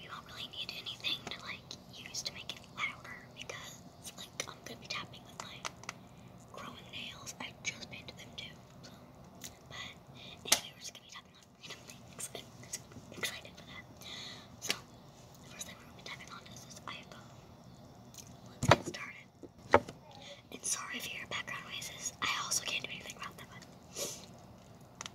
we won't really need anything to like use to make it louder because like I'm gonna be tapping with my growing nails. I just painted them too. So but anyway we're just gonna be tapping on random excited for that. So the first thing we're gonna be tapping on is this iPhone. Let's get started. And sorry if you background noises. I also can't do anything about that and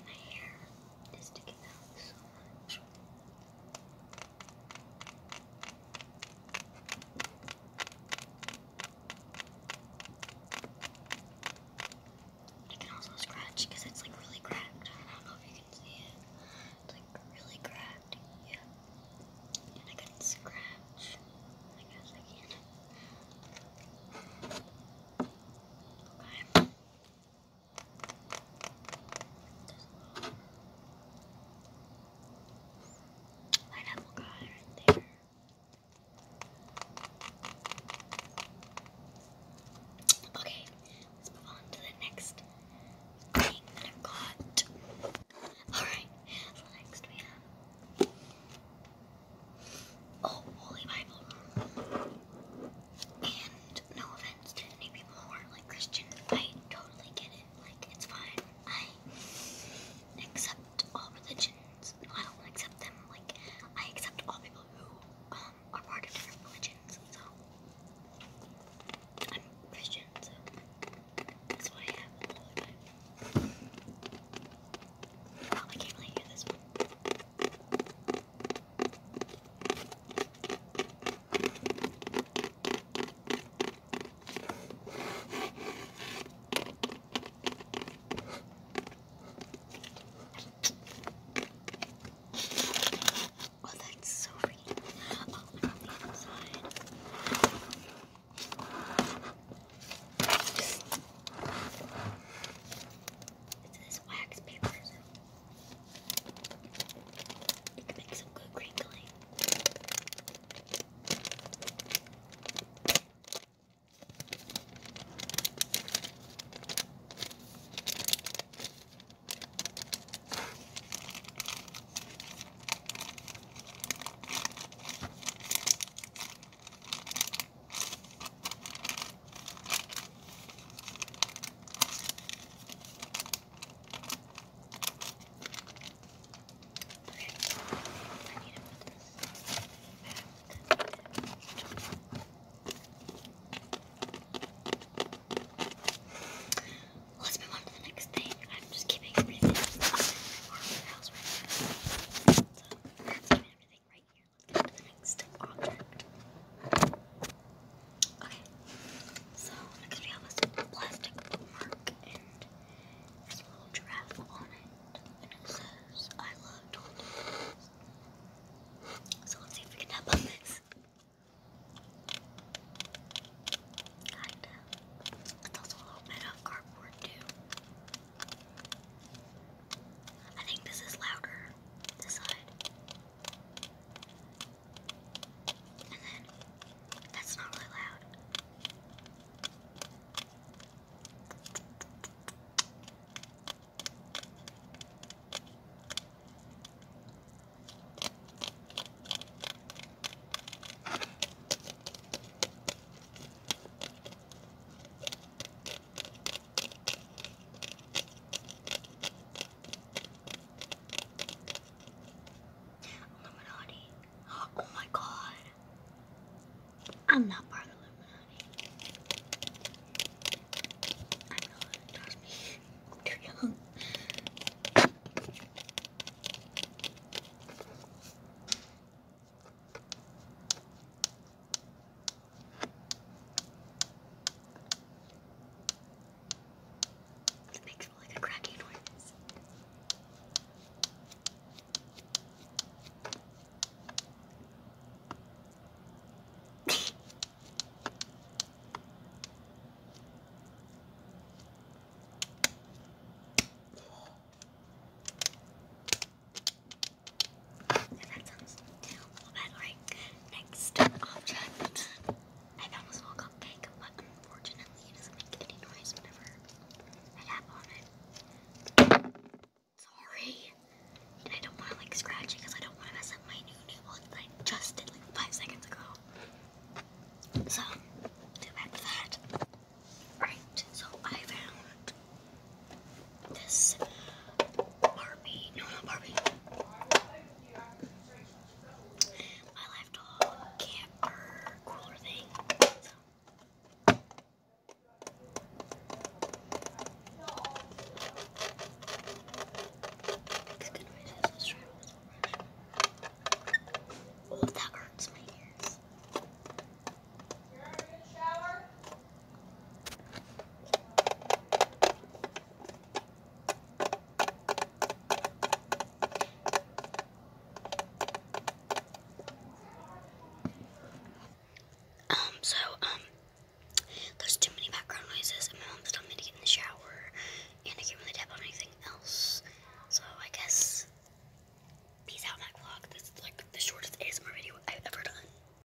my hair. I can also scratch because it's like really cracked. I don't know if you can see it. It's like really cracked. Yeah. And I could scratch. I guess I can. Okay. Pineapple got right there. Okay, let's move on to the next thing that I've got. Alright, so next we have. Oh, Holy Bible. And no offense to any people who are like Christian, I totally get it. Like it's fine. I accept all religions. I don't accept them. Like I accept all people who um, are part of different religions. So I'm Christian, so that's what I have. Oh, I can't really hear this one. Oh, that's so pretty. Oh, on the inside. It's this wax paper. You can make some good crinkling. Let's move on to the next thing. I'm just keeping everything up in my house right now. So that's keeping everything right here next object. Okay, so next we have this plastic bookmark, and there's a little giraffe on it, and it says, I love tortillas. So let's see if we can tap this. It's also a little bit of cardboard, too. I think this is louder, this And then, that's not really loud. Illuminati. Oh my god. I'm not part of the Illuminati. I'm not, trust me. I'm too young. It makes like a cracking noise. And that next object. I found this little but unfortunately it doesn't make any noise whenever I tap on it. Sorry. And I don't want to like scratch it because I don't want to mess up my new nail that I just did like five seconds ago. So, do back to that. Alright, so I found this Barbie, no, not Barbie, my life doll camper Oh, that hurts my ears. Um, so, um, there's too many background noises, and my mom's telling me to get in the shower, and I can't really tap on anything else. So, I guess, peace out, Mac Vlog. This is like the shortest ASMR video I've ever done.